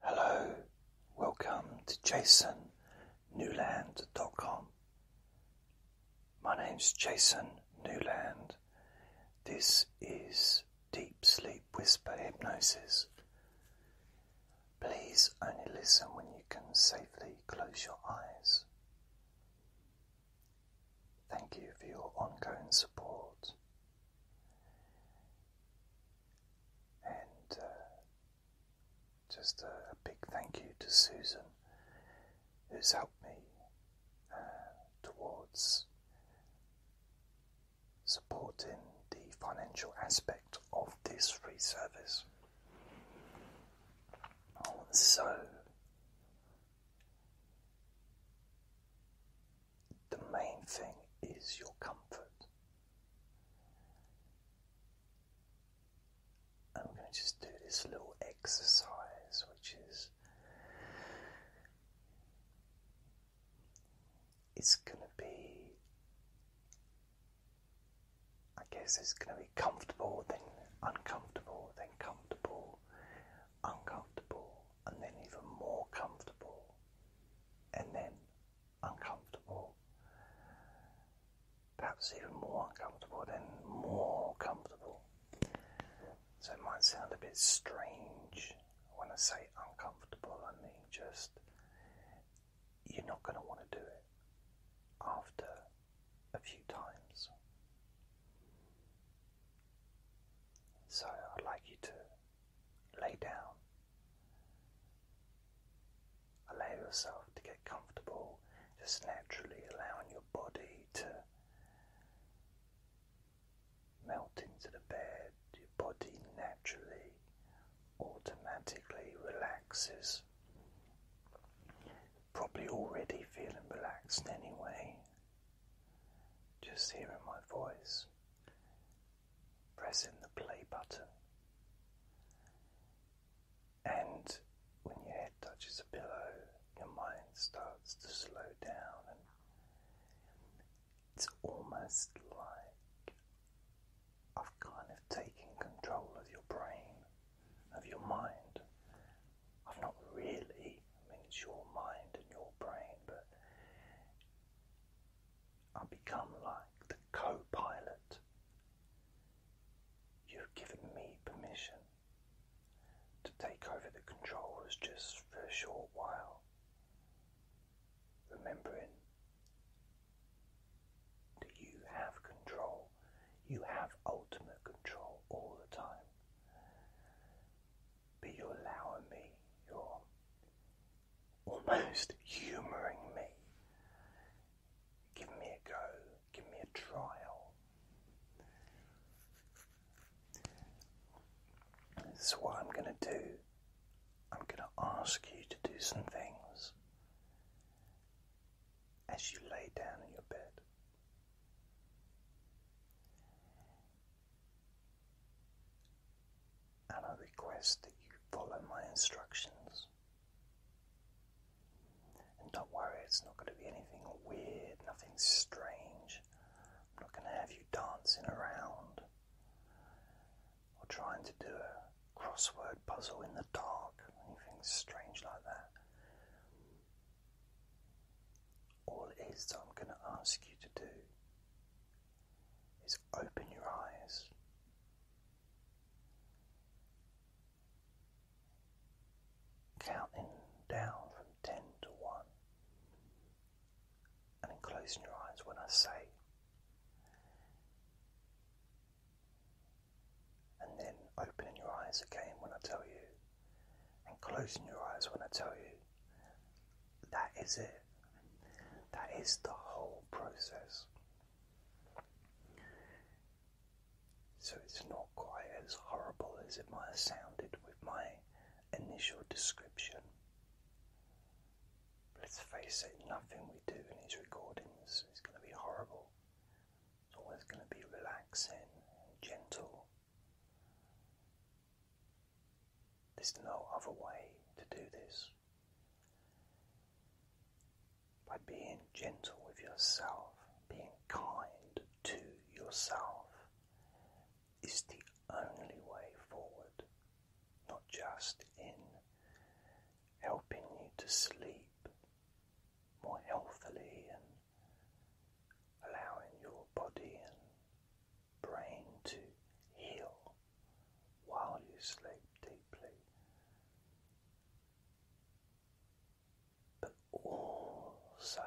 Hello, welcome to jasonnewland.com. My name's Jason Newland. This is Deep Sleep Whisper Hypnosis. Please only listen when you can safely close your eyes. Thank you for your ongoing support and uh, just a, big thank you to Susan, who's helped me uh, towards supporting the financial aspect of this free service. So, the main thing is your comfort. I'm going to just do this little exercise, which is it's going to be, I guess it's going to be comfortable, then uncomfortable, then comfortable, uncomfortable, and then even more comfortable, and then uncomfortable, perhaps even more uncomfortable, then more comfortable. So it might sound a bit strange when I say uncomfortable, I mean just you're not going to want to do it after a few times. So I'd like you to lay down. Allow yourself to get comfortable, just naturally allowing your body to melt into the bed. Your body naturally, automatically relaxes. Probably already feeling relaxed anyway. Just hearing my voice, pressing the play button. And when your head touches a pillow, your mind starts to slow down, and it's almost like I've kind of taken control of your brain, of your mind. I've not really, I mean, it's your mind and your brain, but I become like the co pilot. You've given me permission to take over the controls just for a short while, remembering that you have control, you have ultimate control all the time. But you're allowing me, you almost humouring me. Give me a go, give me a trial. This is what I'm going to do, I'm going to ask you to do some things as you lay down in your bed and I request that you follow my instructions. And don't worry, it's not going to be anything weird, nothing strange. I'm not going to have you dancing around or trying to do a crossword puzzle in the dark, anything strange like that. All it is that I'm going to ask you to do is open your eyes. Counting down from 10 to 1, and then closing your eyes when I say, and then opening your eyes again when I tell you, and closing your eyes when I tell you. That is it. That is the whole process. So it's not quite as horrible as it might have sounded with my initial description. Let's face it, nothing we do in these recordings is going to be horrible. It's always going to be relaxing and gentle. There's no other way to do this by being gentle with yourself, being kind to yourself is the only way forward, not just in helping you to sleep more healthily and allowing your body and brain to heal while you sleep deeply. But also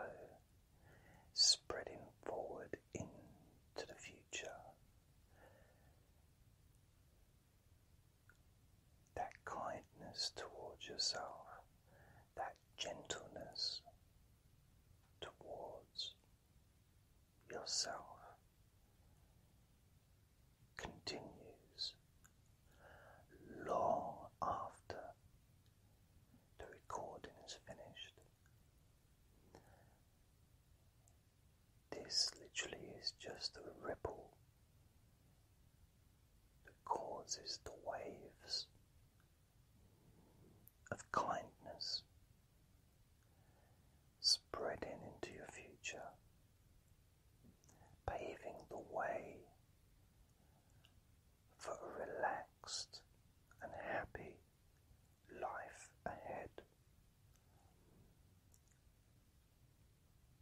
spreading forward into the future. That kindness towards yourself, that gentleness towards yourself continues long after the recording is finished. This literally is just a ripple that causes the waves of kindness spreading into your future, paving the way for a relaxed and happy life ahead.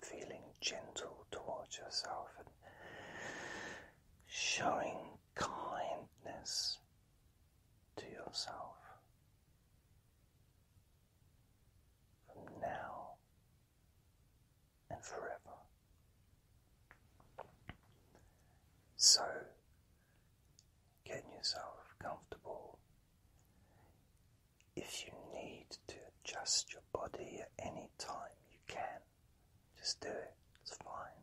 Feeling gentle towards yourself and showing kindness to yourself from now and forever. So, get yourself comfortable. If you need to adjust your body at any time, you can. Just do it, it's fine.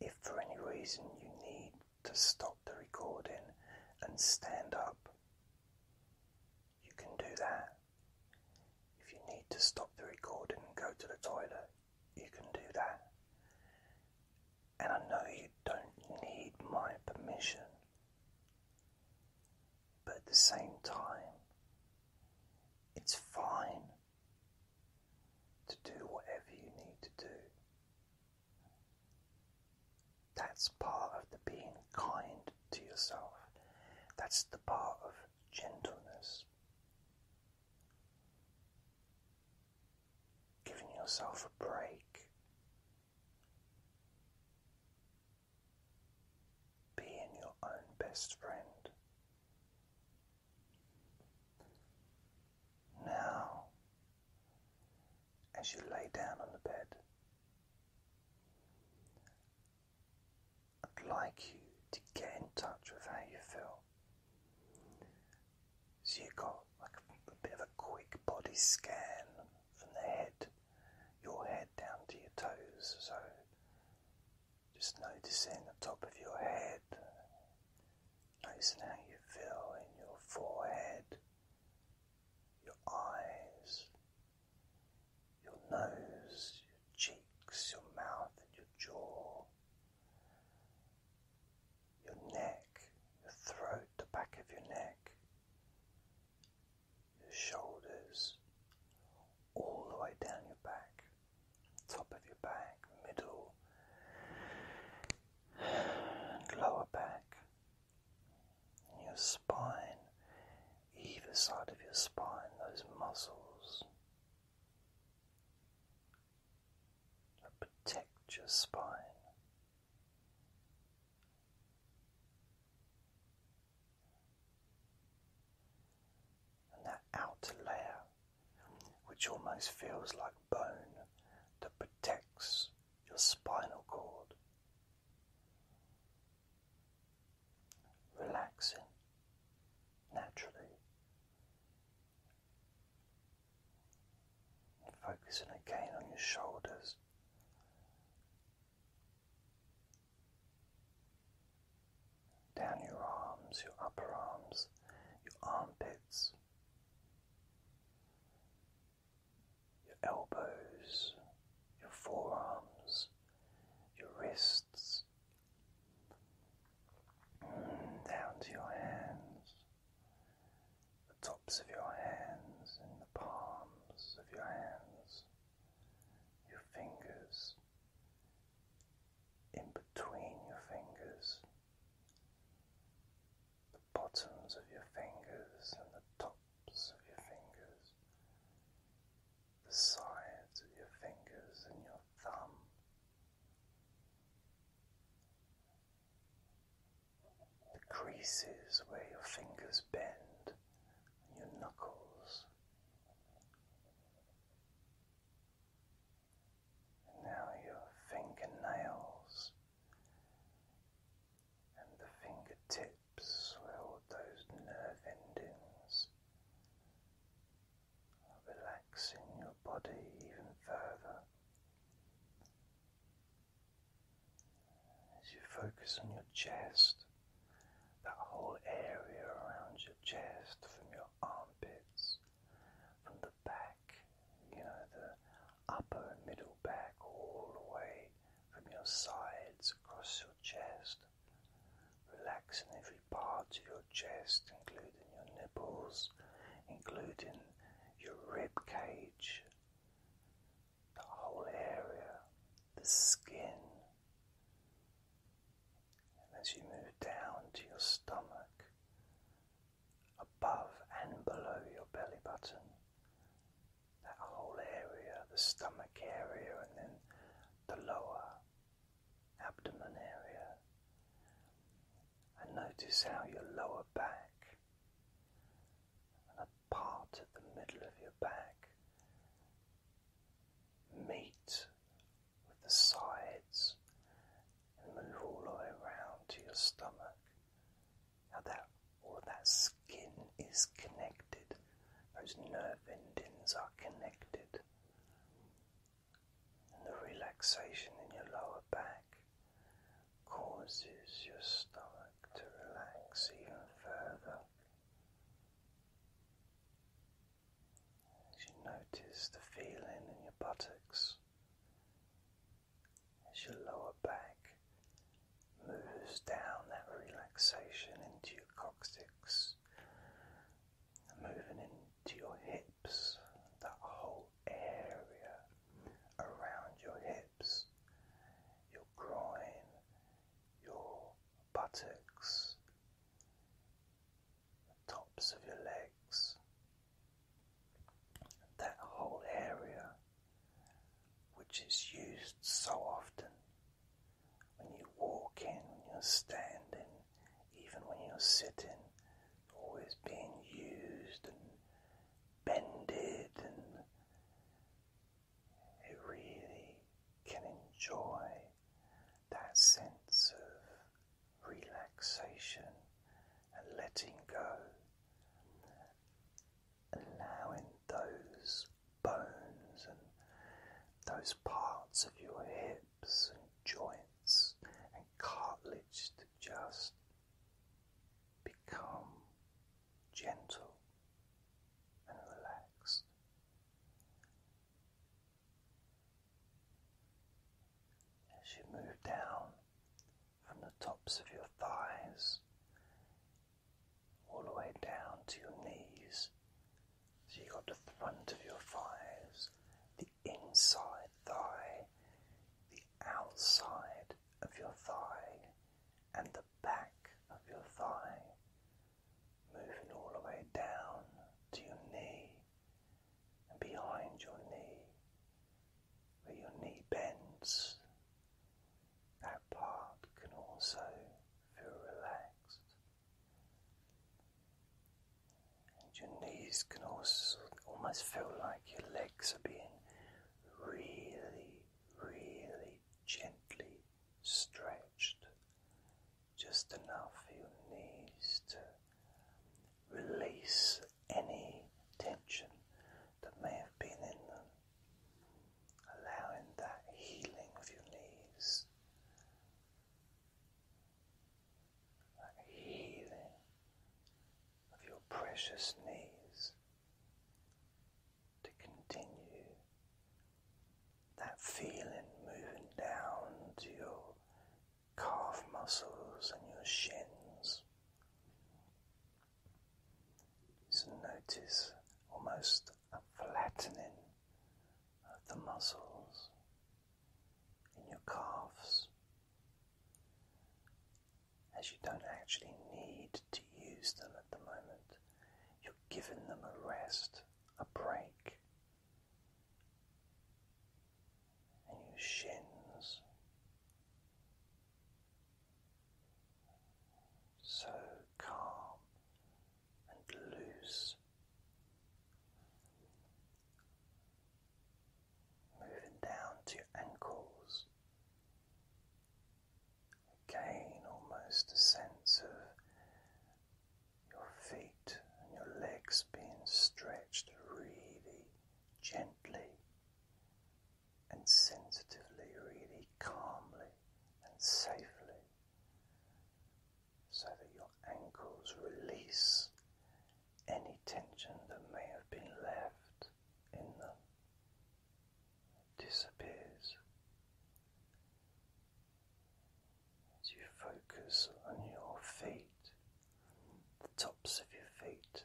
If for any reason you need to stop the recording and stand up, you can do that. If you need to stop the recording and go to the toilet, you can do that. And I know you don't need my permission, but at the same time, it's fine to do whatever you need to do. That's part of the being kind to yourself. That's the part of gentleness. Giving yourself a break. Being your own best friend. Now, as you lay down on the bed, I'd like you to get in touch with how you feel. So you got like a, a bit of a quick body scan from the head, your head down to your toes. So just noticing the top of your head, Noticing how you feel in your forehead, your eyes, your nose, your cheeks, your mouth, and your jaw, your neck, your throat, the back of your neck, your shoulders, all the way down your back, top of your back, middle, lower back, your spine, either side of your spine, those muscles that protect your spine. And that outer layer which almost feels like bone that protects your spinal cord. Relaxing naturally. focusing again on your shoulders. Down your arms, your upper arms, your armpits, your elbows, your forearms, your wrists, mm, down to your hands, the tops of your hands, and the palms of your hands, your fingers, in between your fingers the bottoms of your fingers and the tops of your fingers, the sides of your fingers and your thumb. The creases where your fingers bend your knuckles, now your fingernails and the fingertips where all those nerve endings are relaxing your body even further. As you focus on your chest, that whole area around your chest from your armpits from the back, you know, the upper middle back, all the way from your sides across your chest. Relaxing every part of your chest, including your nipples, including your rib cage, the whole area, the skin. And as you move down to your stomach, above and below your belly button. That whole area, the stomach area, and then the lower abdomen area. And notice how your lower back and a part of the middle of your back meet with the sides and move all the way around to your stomach. How that all that skin is connected, those nerve endings are connected, and the relaxation in your lower back causes your stomach to relax even further. As you notice the feeling in your buttocks, as your lower back moves down that relaxation into your coccyx, moving into your hips, that whole area around your hips, your groin, your buttocks, the tops of your legs that whole area which is used so often when you walk in, when you're standing, even when you're sitting, always being used and bended, and it really can enjoy that sense of relaxation and letting go, allowing those bones and those parts of your hips and joints and cartilage to just become gentle and relaxed. As you move down from the tops of your thighs all the way down to your knees. So you've got the front of your thighs, the inside thigh, the outside of your thigh, and the back of your thigh. Moving all the way down to your knee and behind your knee, where your knee bends, that part can also feel relaxed. And your knees can also almost feel like your legs are being really, really gently stretched, just enough for your knees to release any tension that may have been in them, allowing that healing of your knees, that healing of your precious knees to continue. That feeling moving down to your calf muscles and your shins. So notice almost a flattening of the muscles in your calves as you don't actually need to use them at the moment. You're giving them a rest, a break and your shins. So calm and loose, moving down to your ankles. Again, almost a sense of your feet and your legs being stretched really gently and sensitively, really calmly and safely, so that your ankles release any tension that may have been left in them. disappears as you focus on your feet the tops of your feet,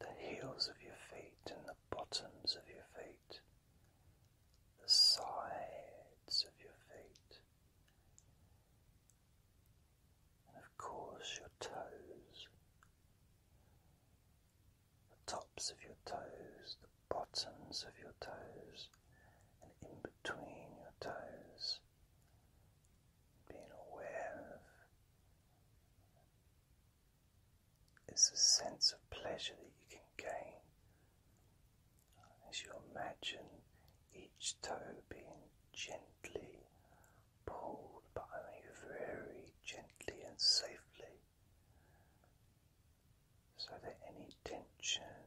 the heels of your feet, and the bottoms of your feet, the sides of your feet, and of course your toes, the tops of your toes, the bottoms of your toes, and in between your toes being aware of is a sense of pleasure that you can gain as you imagine each toe being gently pulled, but only very gently and safely, so that any tension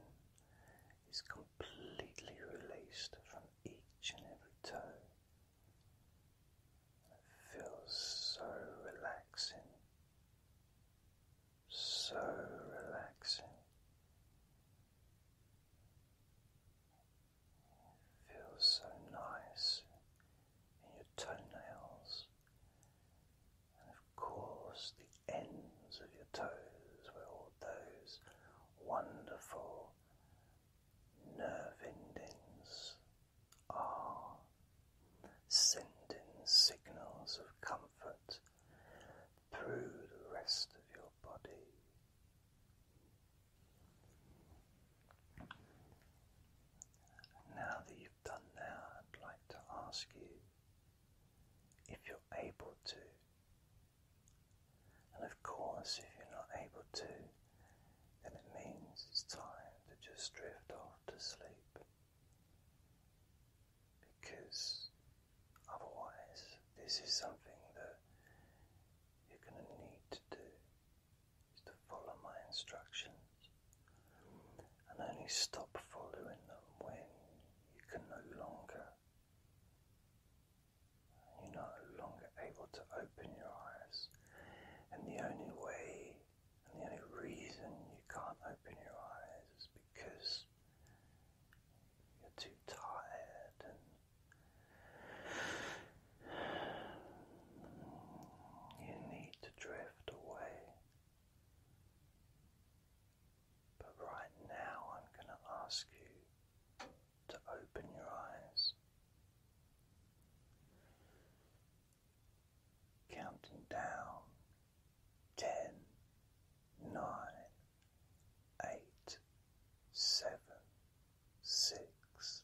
is gone completely released from each and every toe. It feels so relaxing, so relaxing. feels so nice in your toenails, and of course, the ends of your toes, where all those wonderful nerve endings are sending signals of comfort through the rest of your body. Now that you've done that, I'd like to ask you if you're able to and of course, if you're not able to, then it means it's time to just drift off to sleep. Because otherwise, this is something that you're going to need to do is to follow my instructions and only stop following them when you can no longer you're no longer able to open your eyes, and the only way and the only reason you can't open your eyes is because you're too tired and you need to drift away. But right now, I'm going to ask you to open your eyes. Counting down ten, nine, eight, seven, six,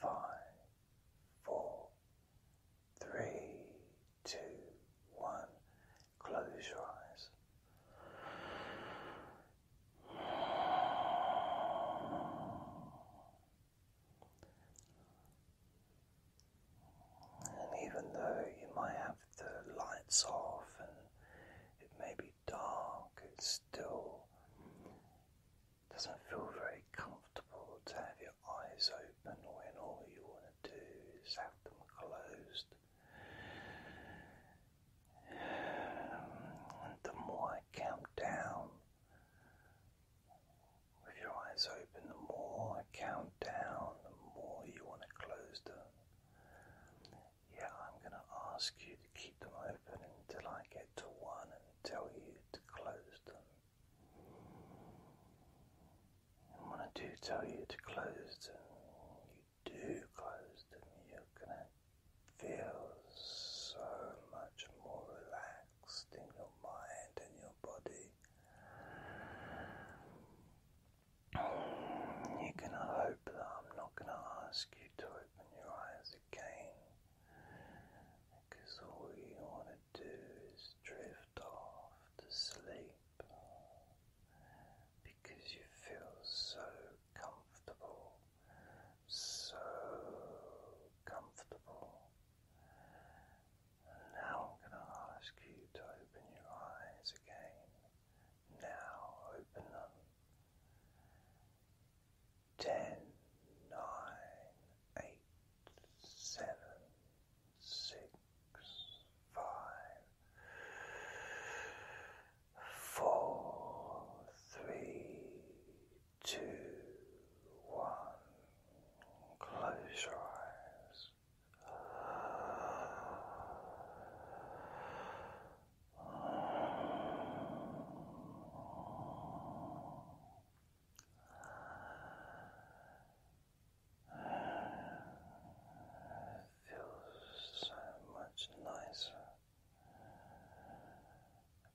five, four, three, two, one. Close your eyes. And even though you might have the lights off and it may be dark, it still doesn't feel very comfortable to have your eyes open when all you want to do is have them closed the more I count down, with your eyes open, the more I count down, the more you want to close them. Yeah, I'm going to ask you to keep them open until I get to one and tell you to close them. And when I do tell you to close them, do close them, you're going to feel so much more relaxed in your mind and your body. You're going to hope that I'm not going to ask you to open your eyes again because all you want to do is drift off to sleep because you feel so comfortable, so comfortable. And now I'm going to ask you to open your eyes again. Now open them. Ten, nine, eight, seven, six, five four, three, two, one. Close your eyes. It feels so much nicer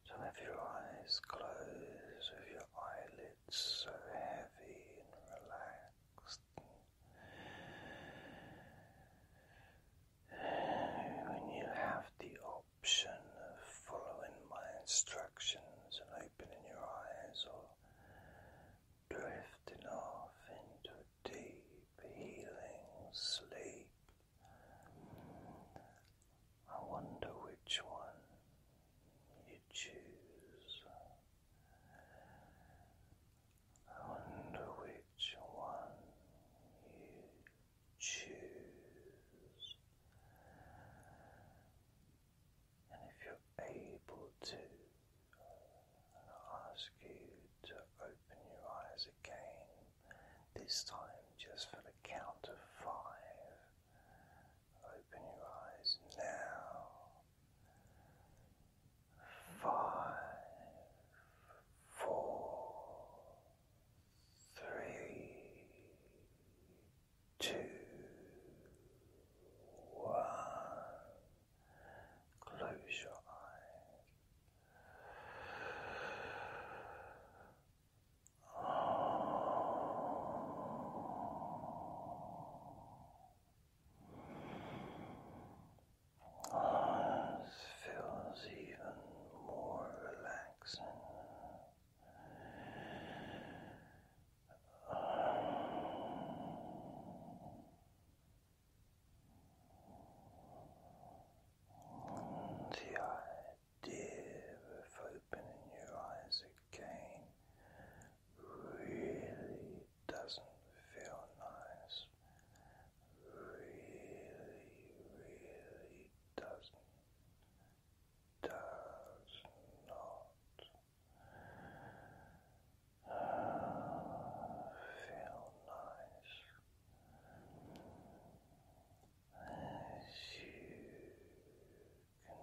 so have your eyes closed with your eyelids so heavy and relaxed. When you have the option of following my instructions and opening your eyes or drifting off into a deep healing sleep. I wonder which one you choose. I wonder which one you choose. And if you're able to, ask you to open your eyes again this time just for the count of five. Open your eyes now. Five, four, three, two, one. Close your eyes. Oh, this feels even more relaxing. On the idea of opening your eyes again really doesn't feel nice. Really, really does Does not feel nice. As you can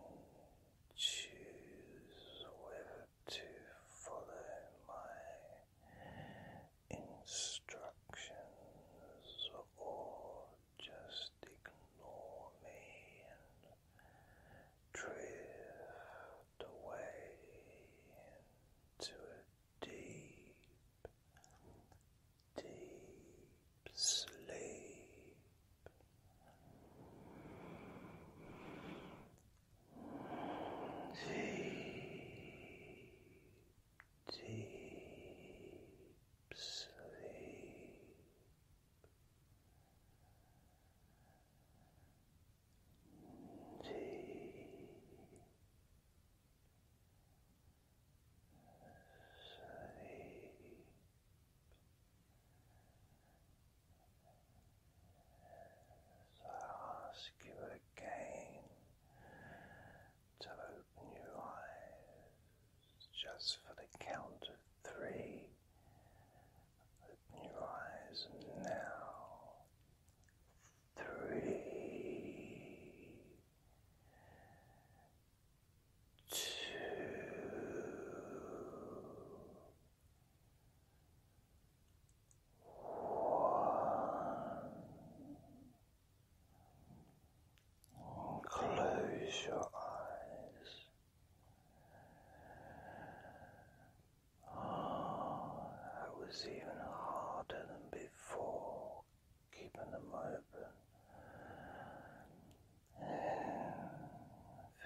choose whether to follow my instructions or just ignore me and drift away into a deep deep sleep. Deep, deep sleep. Deep, as I ask you again to open your eyes just for the count of three. Open your eyes now three, two, one. Close your eyes. Oh, that was even harder than before for keeping them open.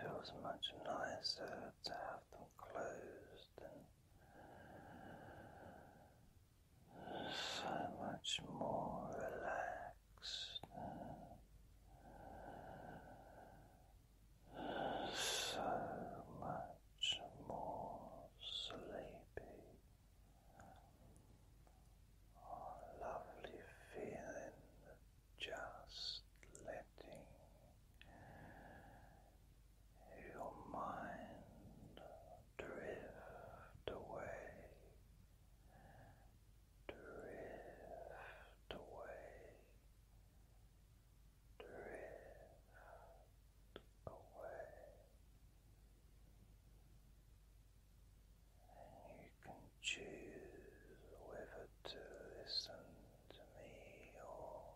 feels much nicer to have them closed so much more relaxed. So much much more sleepy. Oh, lovely feeling just letting your mind drift away, drift away, drift away, you can choose whether to listen to me or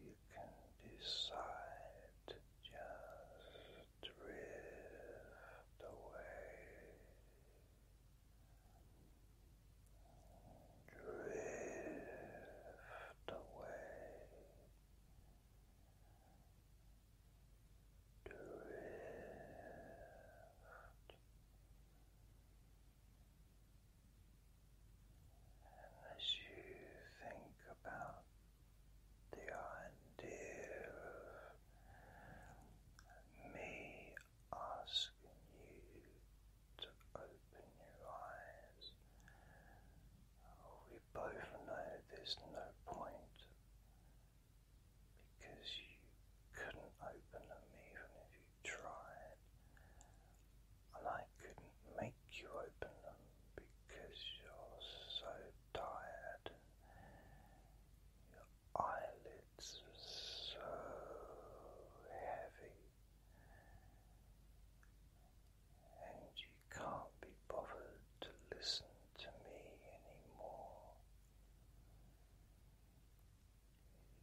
you can decide just drift away. Drift drift away, drift and as you think about the idea of me asking you to open your eyes. we both know there's no point because you couldn't open them even if you tried, and I couldn't make you open them because you're so tired. Your eyelids are so heavy and you can't be bothered to listen to me anymore.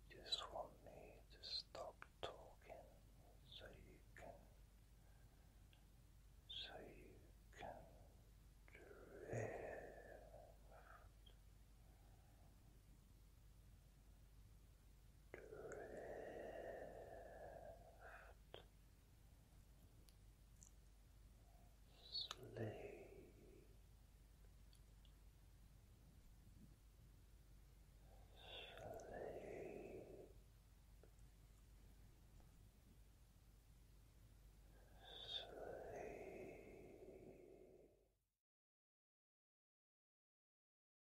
You just want me to stop talking so you can so you can drift Drift. Sleep. Sleep. Sleep.